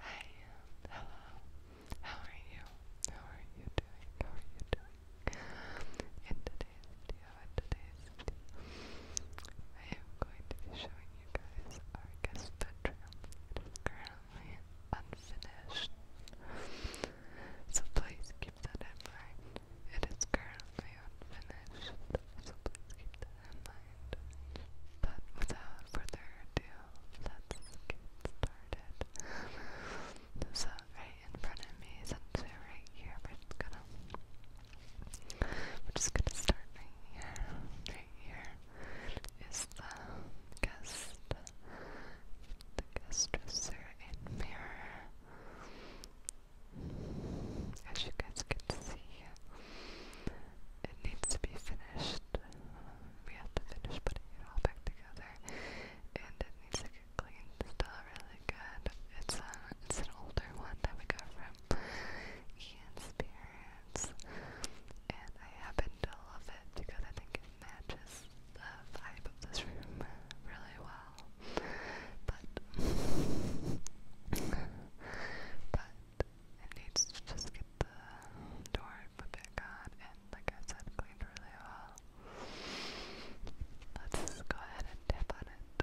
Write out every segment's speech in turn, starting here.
Hi, um, hello. How are you? How are you doing? How are you doing? In today's video, in today's video, I am going to be showing you guys our guest bedroom. currently unfinished so please keep that in mind. It is currently unfinished, so please keep that in mind. But without further ado, let's get started. So right in front of me, since we're right here, we're just gonna we're just gonna start right here. Right here is the guest the guest dresser and mirror as you guys can see, it needs to be finished. We have to finish putting it all back together, and it needs to get cleaned really good. It's a, uh, it's an older one that we got from Ian Spirits, and I happen to love it because I think it matches the vibe of this room really well. But but it needs to just get the door bit on and like I said cleaned really well. Let's go ahead and tap on it.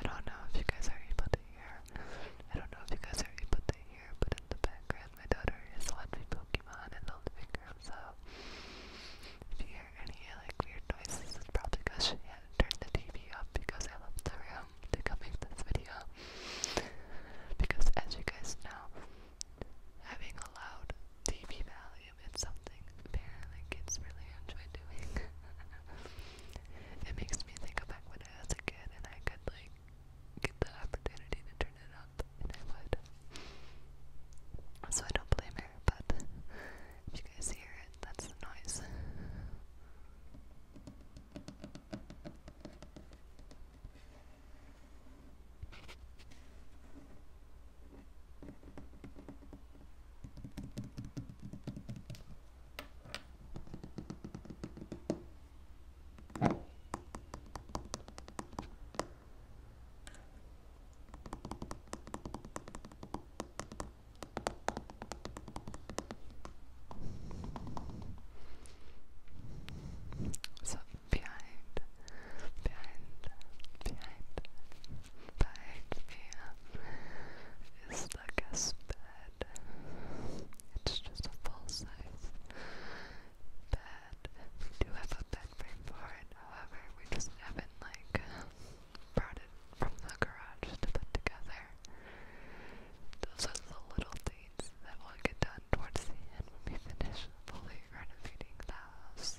I don't know if you guys are able to hear. I don't know if you guys are able to hear, but in the background my daughter is a Pokemon and Littlefinger, so if you hear any like weird noises, probably because she had turned the TV off because I left the room to come make this video. Because as you guys know, having a loud TV volume is something apparently really enjoy doing. it makes me think of back when I was a kid and I could like get the opportunity to turn it up, and I would. So I don't blame her, but if you guys hear it, that's the noise. So behind, behind, behind, behind me is the guest bed. It's just a full size bed. We do have a bed frame for it, however, we just haven't like brought it from the garage to put together. Those are the little things that will get done towards the end when we finish fully renovating the house.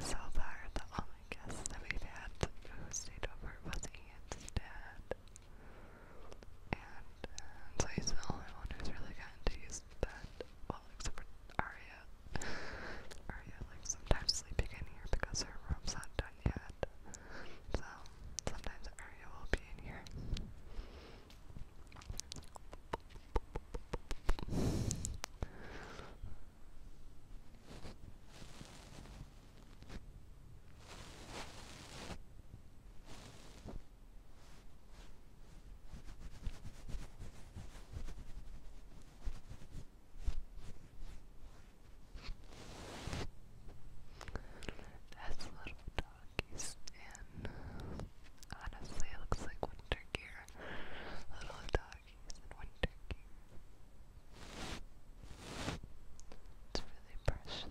So far, the only guest that we've had who stayed over was Ian's dad. And, and so he's the only one who's really gotten to use that. Well, except for Arya. Arya, like, sometimes sleeping in here because her room's not done yet. So, sometimes Arya will be in here. That's little doggies in. Honestly, it looks like winter gear. Little doggies in winter gear. It's really precious.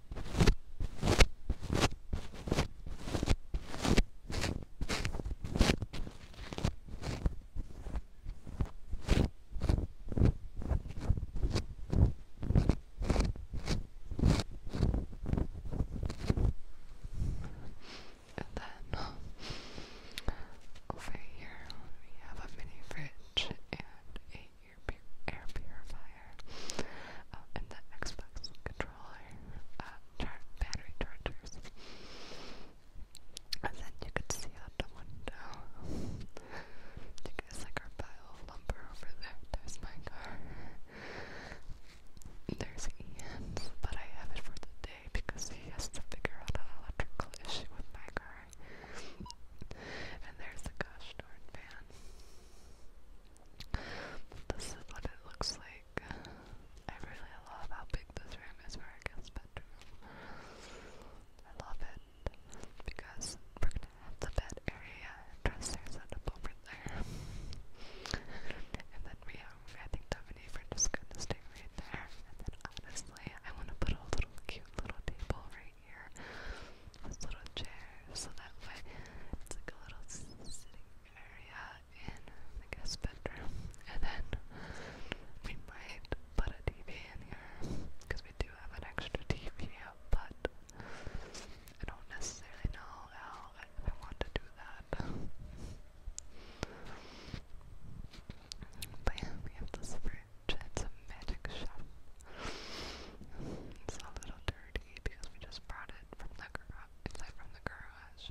And then uh, over here we have a mini fridge and a air, pur air purifier, um, and the Xbox controller, uh, char battery chargers. And then you could see out the window. you guys like our pile of lumber over there? There's my car. There's Ian's, but I have it for the day because he has to figure out an electrical issue with my car. and there's the gosh darn van. This is what it looks like. I really love how big this room is for our guest bedroom. I love it because we're gonna have the bed area and dresser set up over there. and then we have, I think, Dominique, we're just gonna stay right there. And then honestly, I wanna put a little cute little table right right here with little chairs, so that way it's like a little sitting area in the guest bedroom. And then we might put a TV in here because we do have an extra TV, but I don't necessarily know how I, I want to do that. But yeah, we have this fridge. It's a magic shop. It's a little dirty dirty because we just brought it from the garage. It's from the garage.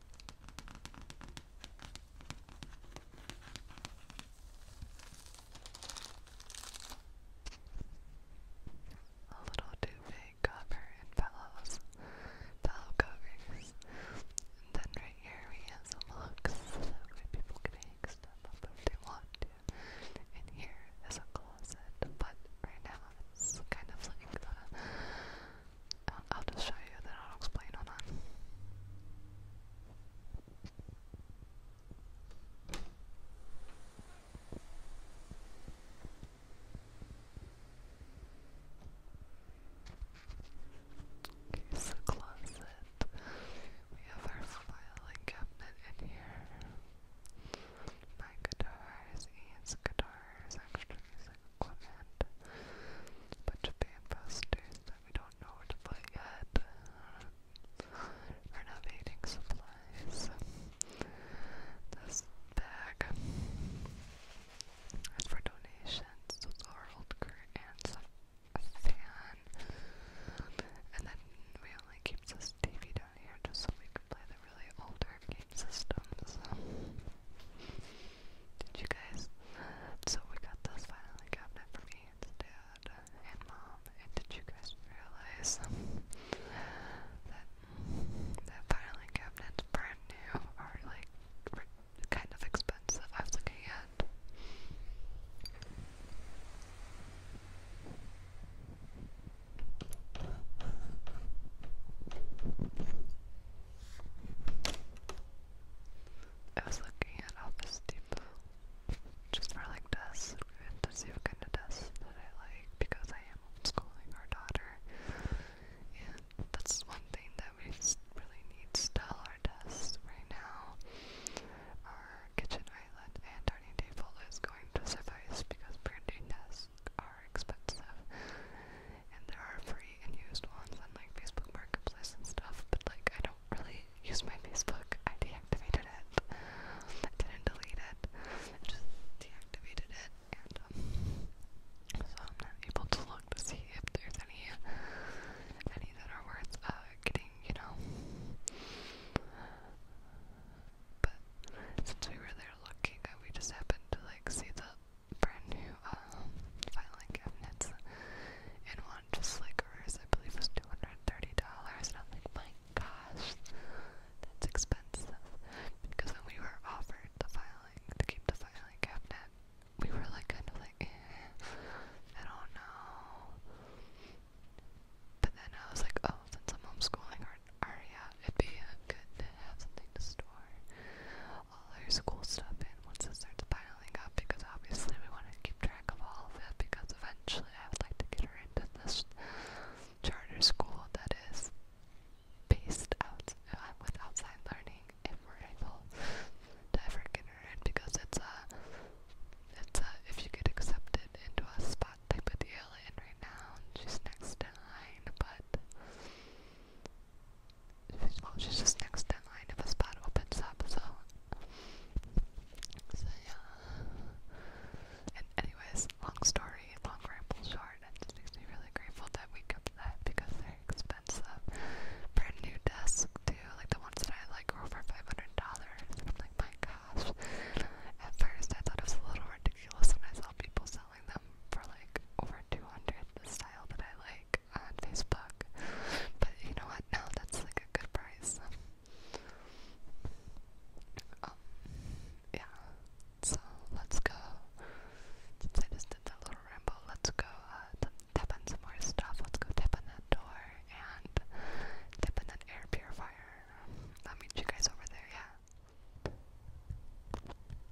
A little too cover and pillows, pillow covers. And then right here we have some hooks, so that people can hang stuff up if they want to. And here is a closet, but right now it's kind of like I'll, just show you, then I'll explain on that. Okay, closet. We have our filing cabinet in here. My guitars, Ian's guitars, extra Clement. Bunch of paying investors that we don't know what to buy yet. we supplies. This bag is for donations. So it's old current and a fan. And then we only keep this TV down here just so we can play the really older game systems. Did you guys? So we got this filing cabinet for me and dad and mom. And did you guys realize that that filing cabinet's brand new Are like kind of expensive? I was looking at. I was looking at Office Depot just for like desks to see what kind of desk that I like because I am homeschooling our daughter, and that's one thing that we really need still our desks right now. Our kitchen island and dining table is going to suffice because printing desks are are expensive, and there are free and used ones on like Facebook Marketplace and stuff. But like, I don't really use my Facebook. I deactivated it. I didn't delete it. I just deactivated it, and um, so I'm not able to look to see if there's any any that are worth uh, getting. You know. But since we were there looking, uh, we just happened to like see the brand new uh, filing cabinets, and one just like hers, I believe, was two hundred and thirty dollars. And I'm like, my gosh, that's expensive. Because when we were offered the filing to keep the filing cabinet, we were like, kind of like, eh, I don't know. But then I was like, oh, since I'm homeschooling Aria, it'd be good to have something to store all our school stuff in once it starts piling up because obviously we want to keep track of all of it because eventually I would like to get her into this charter school that is based out uh, with outside learning if we're able to ever get her in because it's a it's a if you get accepted into a spot type of deal and right now she's next in line but well, oh, she's just next in line if a spot opens up, so. So, yeah. And, anyways, long story, long ramble short, it just makes me really grateful that we got that because they're expensive. Brand new desks, too, like the ones that I like were over $500. I'm like, my gosh. At first, I thought it was a little ridiculous when I saw people selling them for like over 200 the style that I like on Facebook. But you know what? No, that's like a good price. Um, yeah. So let's go. Since I just did that little ramble, let's go uh, tap on some more stuff. Let's go tap on that door and tap on that air purifier. I'll meet you guys over there, yeah.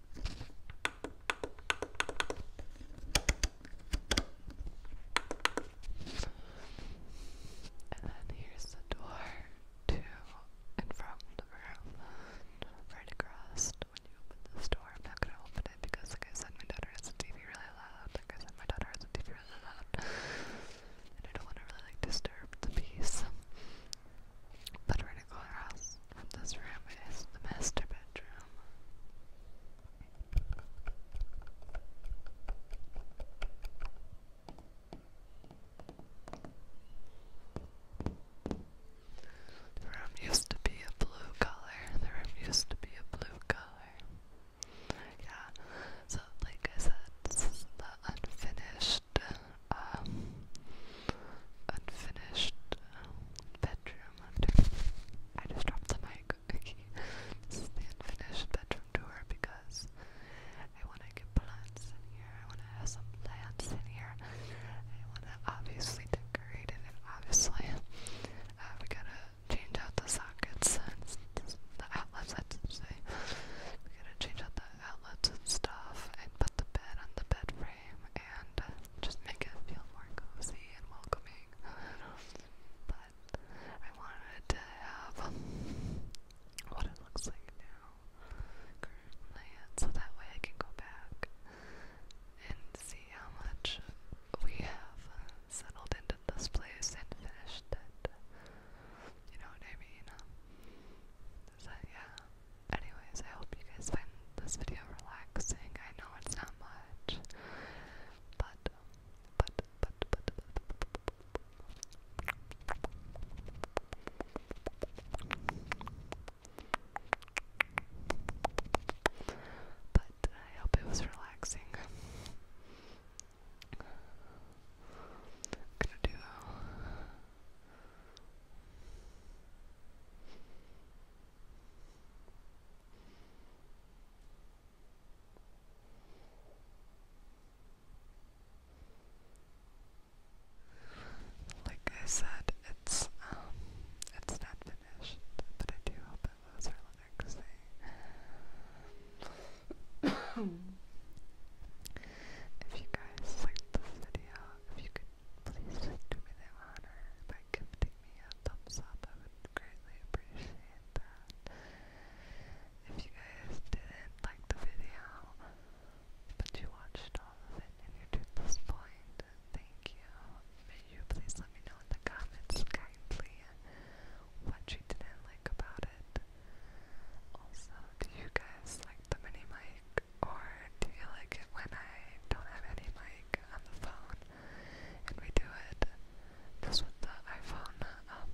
And then here's the door to and from the room. Right across when you open this door. I'm not gonna open it because like I said my daughter has a TV really loud. Like I said my daughter has a TV really loud. And I don't wanna really like disturb the peace. But right across from this room is the master bedroom. The room used to be a blue color. The room used to be a blue color. Yeah. So like I said, this is unfinished um, unfinished um, bedroom. I just dropped the mic. this is the unfinished bedroom tour because I want to get plants in here. I want to have some plants in here. I want to obviously decorate it, obviously uh, we gotta change out the sockets the outlets. we gotta change out the outlets and stuff, and put the bed on the bed frame and uh, just make it feel more cozy and welcoming. but I wanted to have what it looks like now so that way I can go back and see how much we have settled into this place and finished it. You know what I mean? So yeah, anyways, I hope you guys find this video relaxing. I know it's not much, but, but, but, but, but, I hope it was relaxing. gonna do. Like I said, it's um it's not finished, but I do hope it was relaxing. if you guys liked this video, if you could Please do me the honor by gifting me a thumbs up. I would greatly appreciate that. If you guys didn't like the video, but you watched all of it and you're to this point, thank you. May you please let me know in the comments kindly what you didn't like about it. Also, do you guys like the mini mic? or do you like it when I don't have any mic on the phone and we do it just with the iPhone um,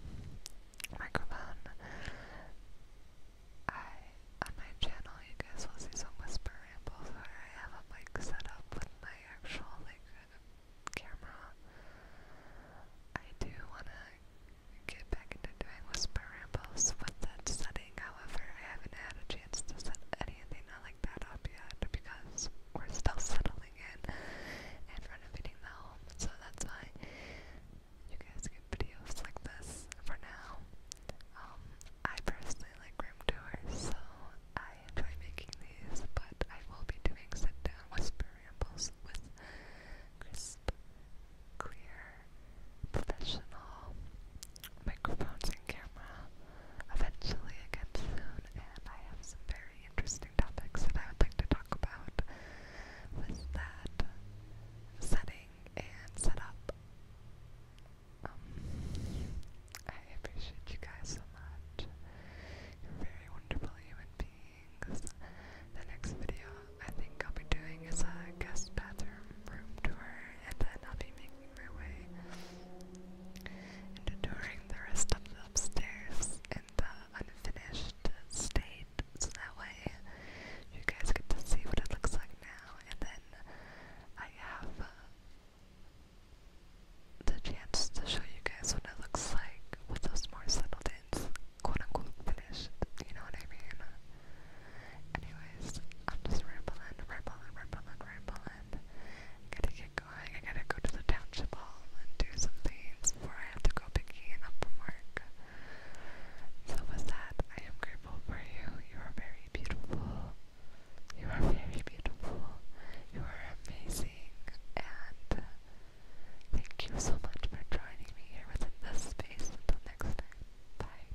microphone? I on my channel, you guys will see some whisper rambles where I have a mic set up with my actual like camera. I do wanna get back into doing whisper rambles with that setting thing, however, I haven't had a chance to set anything like that up yet because we're still settling in and renovating the home, so that's why you guys get videos like this for now. Um, I personally like room tours, so I enjoy making these, but I will be doing sit down whisper rambles with crisp, clear, professional microphones and camera eventually again soon, and I have some very interesting topics that I would like to talk about with that setting and setup. Um, I appreciate you guys so much. You're very wonderful human beings. The next video I think I'll be doing is a guest bathroom room tour and then I'll be making my way into touring the rest of the upstairs in the unfinished state, so that way you guys get to see what it looks like now, and then I have uh, the chance to show you guys what it looks like with those more settled ins, quote unquote finished, you know what I mean? Anyways, I'm just rambling, rambling, rambling, rambling gotta get going. I gotta go to the township hall and do some things before I have to go pick up from work. So with that, I am grateful for you. You are very beautiful. You are very beautiful. You are amazing. And thank you so much for joining me here within this space. Until next time. Bye.